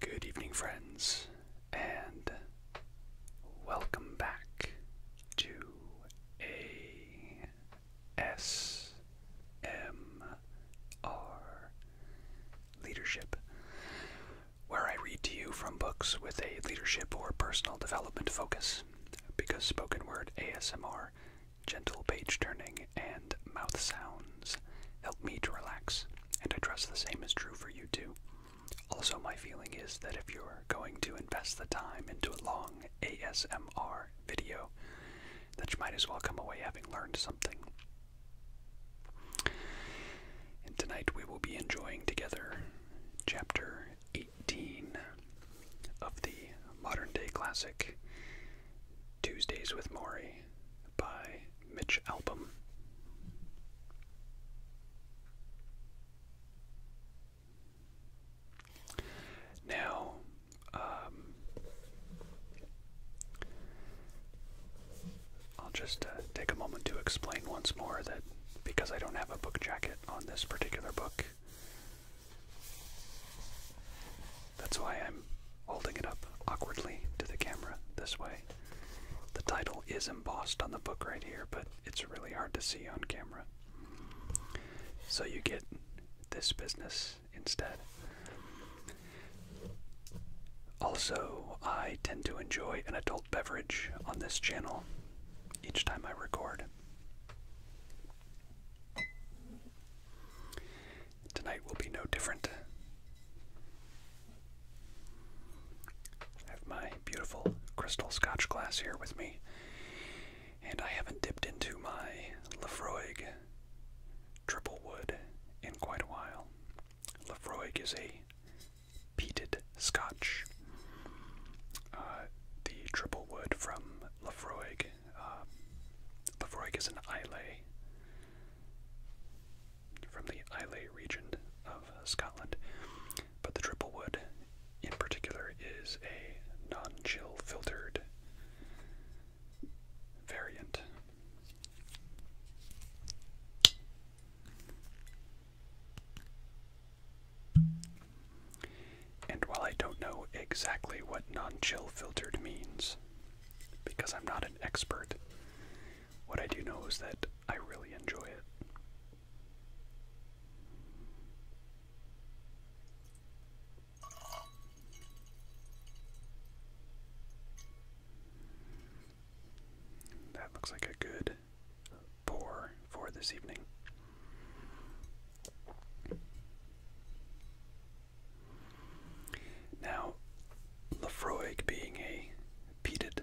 Good evening, friends, and welcome back to ASMR Leadership, where I read to you from books with a leadership or personal development focus, because spoken word ASMR, gentle page turning, and mouth sounds help me to relax, and I trust the same is true for you too. Also, my feeling is that if you're going to invest the time into a long ASMR video, that you might as well come away having learned something. And tonight we will be enjoying together chapter 18 of the modern day classic Tuesdays with Maury by Mitch album. Now, um, I'll just uh, take a moment to explain once more that because I don't have a book jacket on this particular book, that's why I'm holding it up awkwardly to the camera this way. The title is embossed on the book right here, but it's really hard to see on camera. So you get this business instead. Also, I tend to enjoy an adult beverage on this channel each time I record. Tonight will be no different. I have my beautiful crystal scotch glass here with me, and I haven't dipped into my Lefroig triple wood in quite a while. Lefroig is a peated scotch. Uh, the triple wood from Lefroig. Uh, is an Islay from the Islay region of Scotland. But the triple wood in particular is a non chill filtered variant. And while I don't know exactly what non chill filtered means, because I'm not an expert. What I do know is that I really enjoy it. That looks like a good pour for this evening. Now, Lafroig being a peated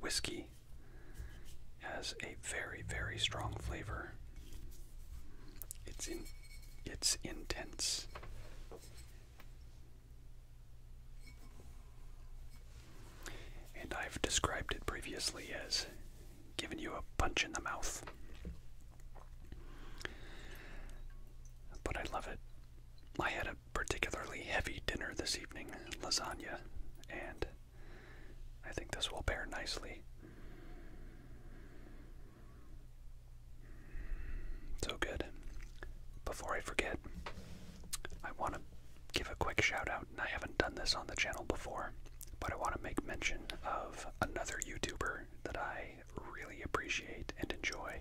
whiskey has a very, very strong flavor. It's in it's intense. And I've described it previously as giving you a punch in the mouth. But I love it. I had a particularly heavy dinner this evening, lasagna, and I think this will pair nicely. So good. Before I forget, I want to give a quick shout out, I haven't done this on the channel before, but I want to make mention of another YouTuber that I really appreciate and enjoy.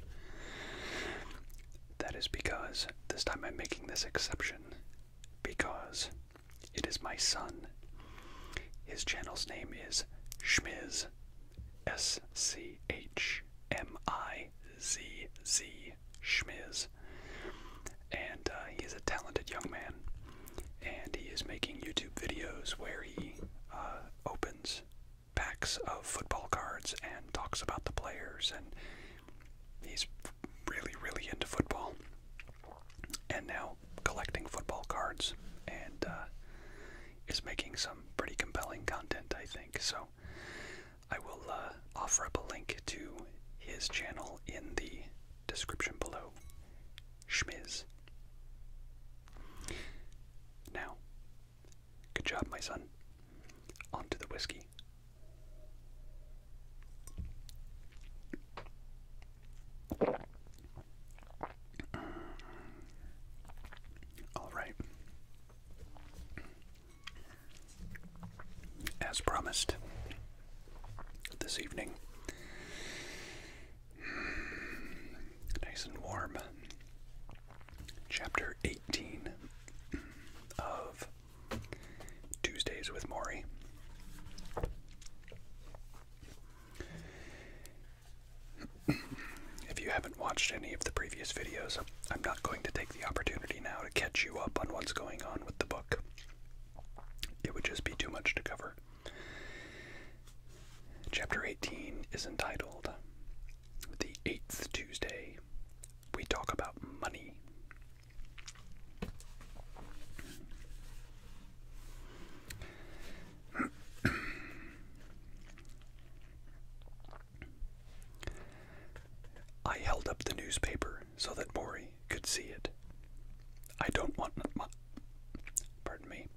That is because this time I'm making this exception because it is my son. His channel's name is Schmiz, S C H M I Z Z Schmiz, and uh, he is a talented young man, and he is making YouTube videos where he uh, opens packs of football cards and talks about the players and he's really really into football and now collecting football cards and uh, is making some pretty compelling content i think so i will uh, offer up a link to his channel in the description below schmiz now, good job, my son. On to the whiskey. All right. As promised, this evening Nice and warm. Chapter 18 of Tuesdays with Maury. If you haven't watched any of the previous videos, I'm not going to take the opportunity now to catch you up on what's going on with the book. It would just be too much to cover. Chapter 18 is entitled The Eighth Tuesday. We talk about money. I held up the newspaper so that Mori could see it. I don't want my, pardon me.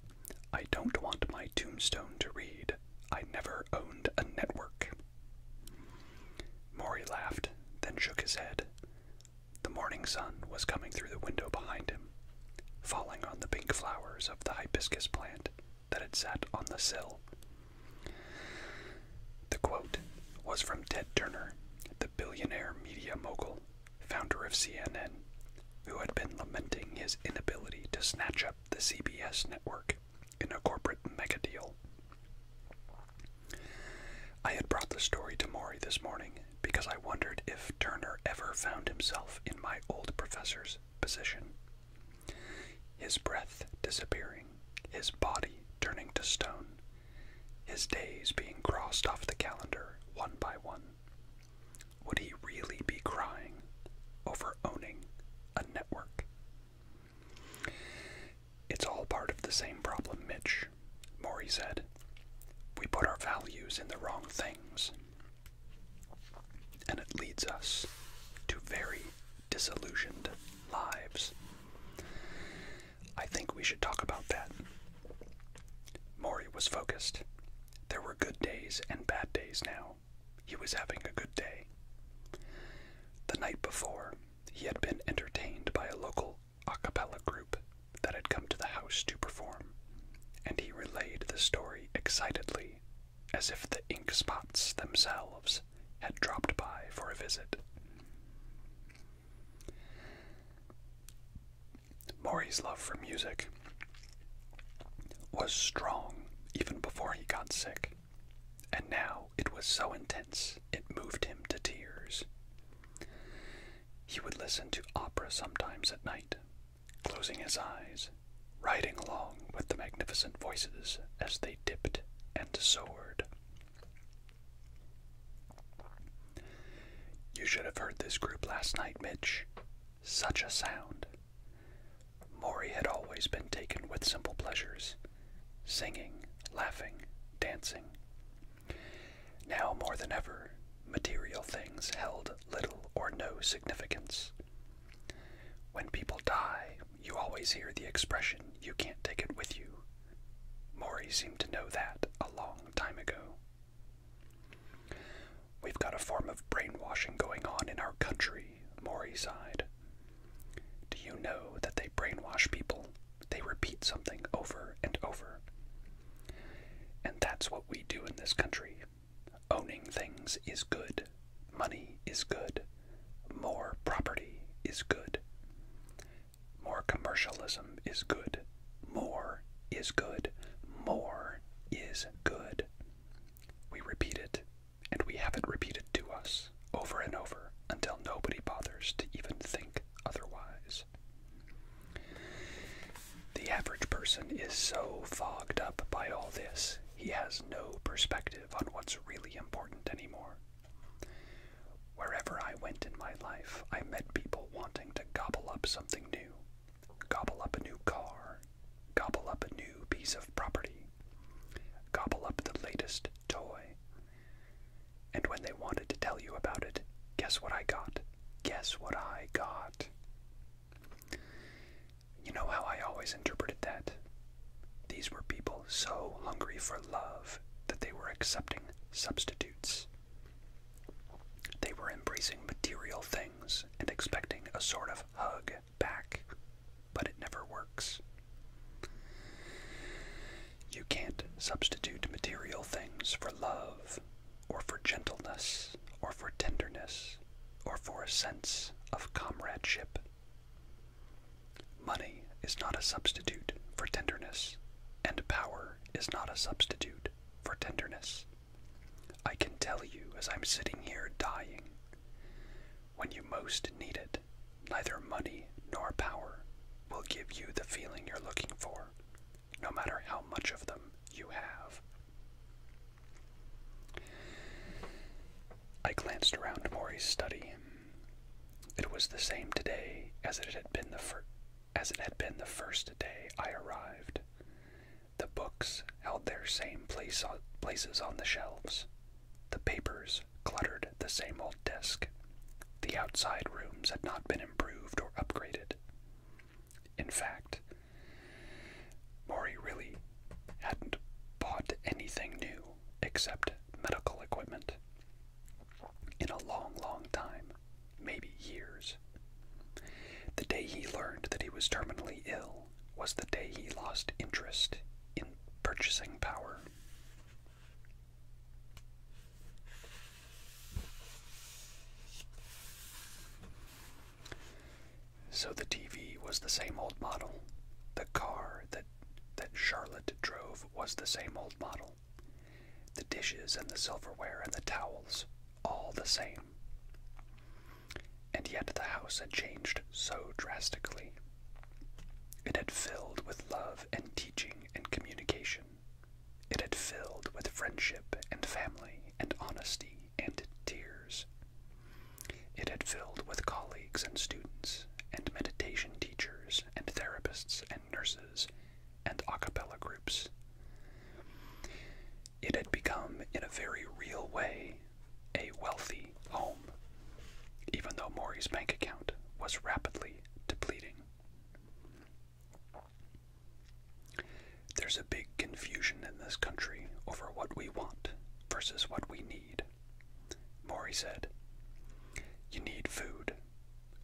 I don't want my tombstone to read, I never owned a network. Maury laughed, then shook his head. The morning sun was coming through the window behind him, falling on the pink flowers of the hibiscus plant that had sat on the sill. The quote was from Ted Turner, the billionaire media mogul founder of CNN, who had been lamenting his inability to snatch up the CBS network in a corporate mega deal. I had brought the story to Mori this morning because I wondered if Turner ever found himself in my old professor's position. His breath disappearing, his body turning to stone, his days being crossed off the calendar one by one. Would he really be crying over owning a network? It's all part of the same problem, Mitch, Maury said. We put our values in the wrong things, and it leads us to very disillusioned lives. I think we should talk about that. Maury was focused, there were good days and bad days now. He was having a good day. The night before, he had been entertained by a local a cappella group that had come to the house to perform, and he relayed the story excitedly, as if the ink spots themselves had dropped by for a visit. Maury's love for music was strong even before he got sick, and now it was so intense it moved him to tears. He would listen to opera sometimes at night, closing his eyes, riding along with the magnificent voices as they dipped and soared. You should have heard this group last night, Mitch, such a sound. Maury had always been taken with simple pleasures singing, laughing, dancing. Now more than ever, material things held little or no significance. When people die, you always hear the expression, you can't take it with you. Maury seemed to know that a long time ago. We've got a form of brainwashing going on in our country, Maury sighed. Do you know that they brainwash people? They repeat something over and over. And that's what we do in this country. Owning things is good. Money is good. More property is good. More commercialism is good. More is good. More is good. We repeat it, and we have it repeated to us over and over until nobody bothers to even think otherwise. The average person is so fogged up by all this, he has no perspective on what's really important anymore. Wherever I went in my life, I met people wanting to gobble up something new, Gobble up a new car. Gobble up a new piece of property. Gobble up the latest toy. And when they wanted to tell you about it, guess what I got? Guess what I got? You know how I always interpreted that? These were people so hungry for love that they were accepting substitutes. They were embracing material things and expecting a sort of hug back, but it never works. You can't substitute material things for love, or for gentleness, or for tenderness, or for a sense of comradeship. Money is not a substitute for tenderness, and power is not a substitute for tenderness. I can tell you as I'm sitting here dying, when you most need it, neither money nor power will give you the feeling you're looking for, no matter how much of them you have. I glanced around Maury's study. It was the same today as it had been the, first as it had been the first day I arrived. The books held their same place on, places on the shelves. The papers cluttered the same old desk. The outside rooms had not been improved or upgraded. In fact, Maury really hadn't bought anything new except medical equipment. In a long, long time, maybe years. The day he learned that he was terminally ill was the day he lost interest in purchasing power. So the TV was the same old model. The car that that Charlotte drove was the same old model. The dishes and the silverware and the towels, all the same. And yet the house had changed so drastically. It had filled with love and teaching and communication. It had filled with friendship and family and honesty and tears. It had filled with colleagues and students and meditation teachers and therapists and nurses and a cappella groups. It had become, in a very real way, a wealthy home, even though Maury's bank account was rapidly depleting. There's a big confusion in this country over what we want versus what we need. Maury said, You need food.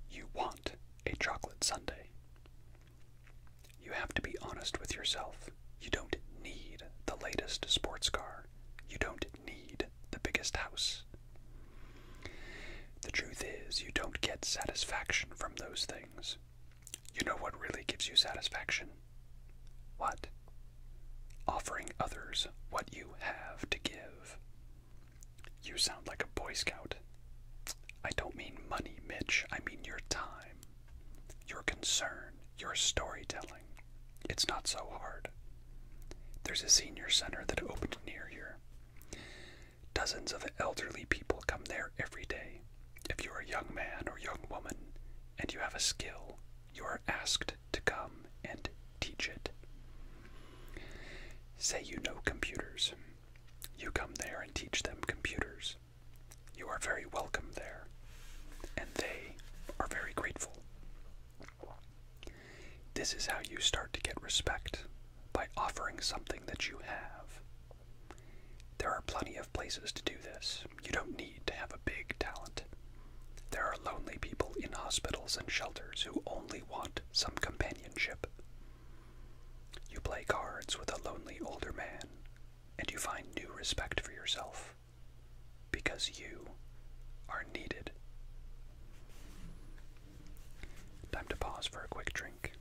You want a chocolate sundae. You have to be honest with yourself. You don't need the latest sports car. You don't need the biggest house. The truth is, you don't get satisfaction from those things. You know what really gives you satisfaction? What? Offering others what you have to give. You sound like a Boy Scout. I don't mean money, Mitch. I mean your time, your concern, your storytelling. It's not so hard. There's a senior center that opened near here. Dozens of elderly people come there every day. If you're a young man or young woman and you have a skill, you are asked to come and teach it. Say you know computers. You come there and teach them computers. You are very welcome there, and they are very grateful. This is how you start to get respect by offering something that you have. There are plenty of places to do this. You don't need to have a big talent. There are lonely people in hospitals and shelters who only want some companionship. You play cards with a lonely older man, and you find new respect for yourself because you are needed. Time to pause for a quick drink.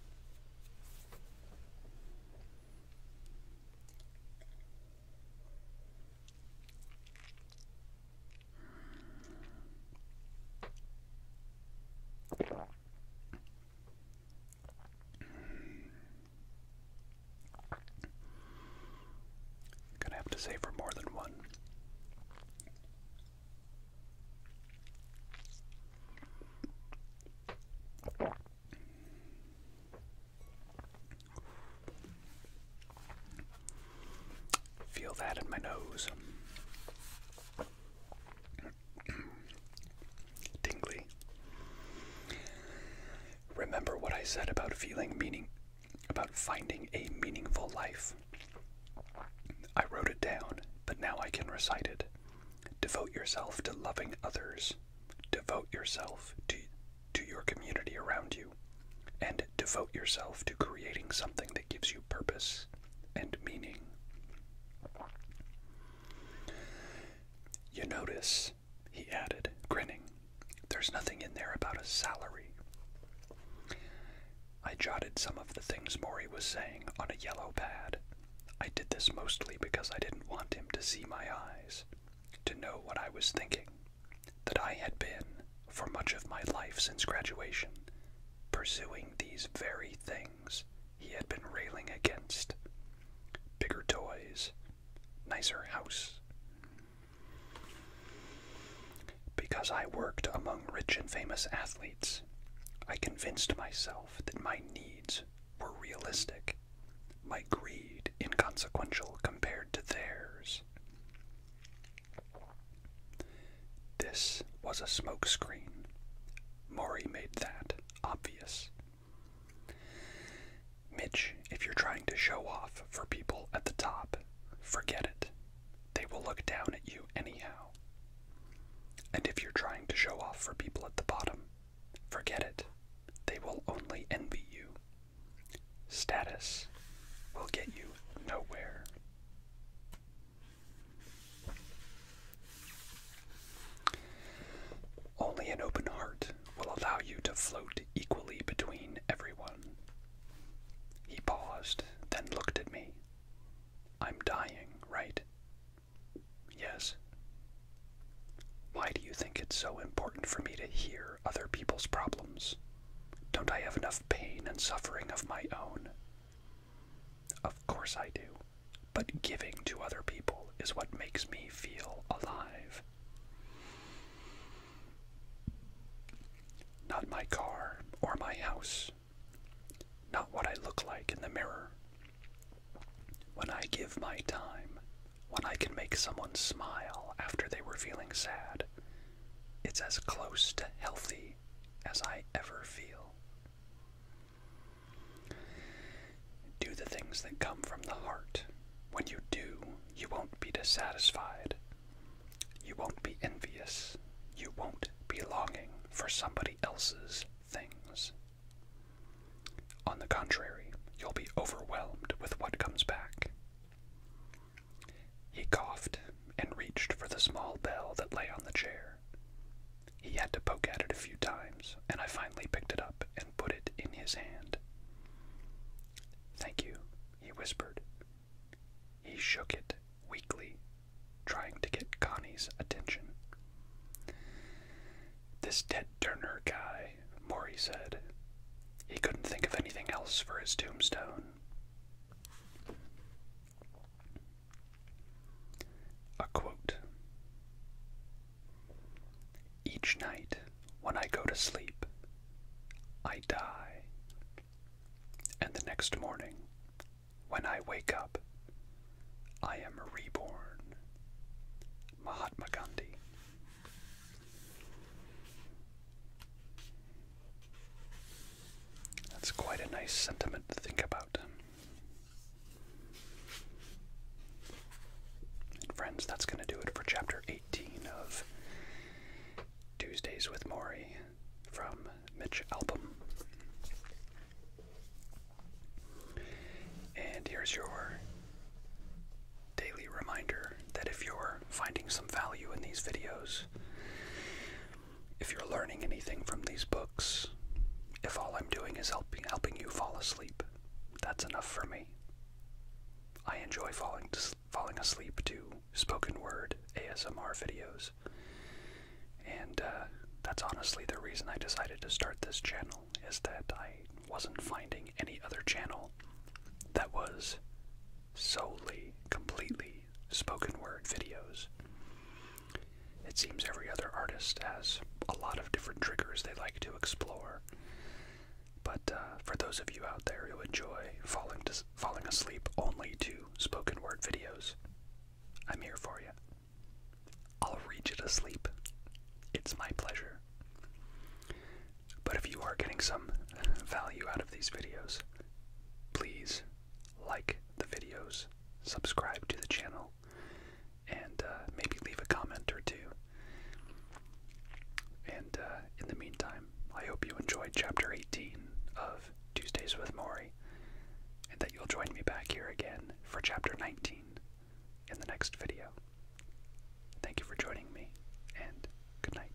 Gonna have to save for more than one. Feel that in my nose. Tingly. Remember what I said about feeling meaning, about finding a meaningful life. I wrote it down, but now I can recite it. Devote yourself to loving others. Devote yourself to, to your community around you. And devote yourself to creating something that gives you purpose and meaning. You notice, he added, grinning, there's nothing in there about a salary. I jotted some of the things Maury was saying on a yellow pad. I did this mostly because I didn't want him to see my eyes, to know what I was thinking, that I had been, for much of my life since graduation, pursuing these very things he had been railing against bigger toys, nicer house. Because I worked among rich and famous athletes, I convinced myself that my needs were realistic, my greed inconsequential compared to theirs. This was a smokescreen. Maury made that obvious. Mitch, if you're trying to show off for people at the top, forget it. They will look down at you anyhow. And if you're trying to show off for people at the bottom, forget it. They will only envy you. Status will get you nowhere. Only an open heart will allow you to float equally between everyone. He paused, then looked at me. I'm dying, right? Yes. Why do you think it's so important for me to hear other people's problems? Don't I have enough pain and suffering of my own? Of course I do, but giving to other people is what makes me feel alive. Not my car or my house, not what I look like in the mirror. When I give my time, when I can make someone smile after they were feeling sad, it's as close to healthy as I ever feel. Do the things that come from the heart. When you do, you won't be dissatisfied. You won't be envious. You won't be longing for somebody else's things. On the contrary, you'll be overwhelmed with what comes back. He coughed and reached for the small bell that lay on the chair. He had to poke at it a few times, and I finally picked it up and put it in his hand. Thank you, he whispered. He shook it weakly, trying to get Connie's attention. This dead Turner guy, Maury said. He couldn't think of anything else for his tombstone. A quote Each night when I go to sleep, I die. And the next morning, when I wake up, I am reborn. Mahatma Gandhi. That's quite a nice sentiment to think about. And friends, that's going to do it for chapter 18 of Tuesdays with Maury from Mitch Album. And here's your daily reminder that if you're finding some value in these videos, if you're learning anything from these books, if all I'm doing is helping helping you fall asleep, that's enough for me. I enjoy falling falling asleep to spoken word ASMR videos, and uh, that's honestly the reason I decided to start this channel. Is that I wasn't finding any other channel that was solely, completely spoken word videos. It seems every other artist has a lot of different triggers they like to explore. But uh, for those of you out there who enjoy falling to, falling asleep only to spoken word videos, I'm here for you. I'll read you to sleep. It's my pleasure. But if you are getting some value out of these videos, please like the videos, subscribe to the channel, and uh, maybe leave a comment or two. And uh, in the meantime, I hope you enjoyed Chapter 18 of Tuesdays with Mori, and that you'll join me back here again for Chapter 19 in the next video. Thank you for joining me, and good night.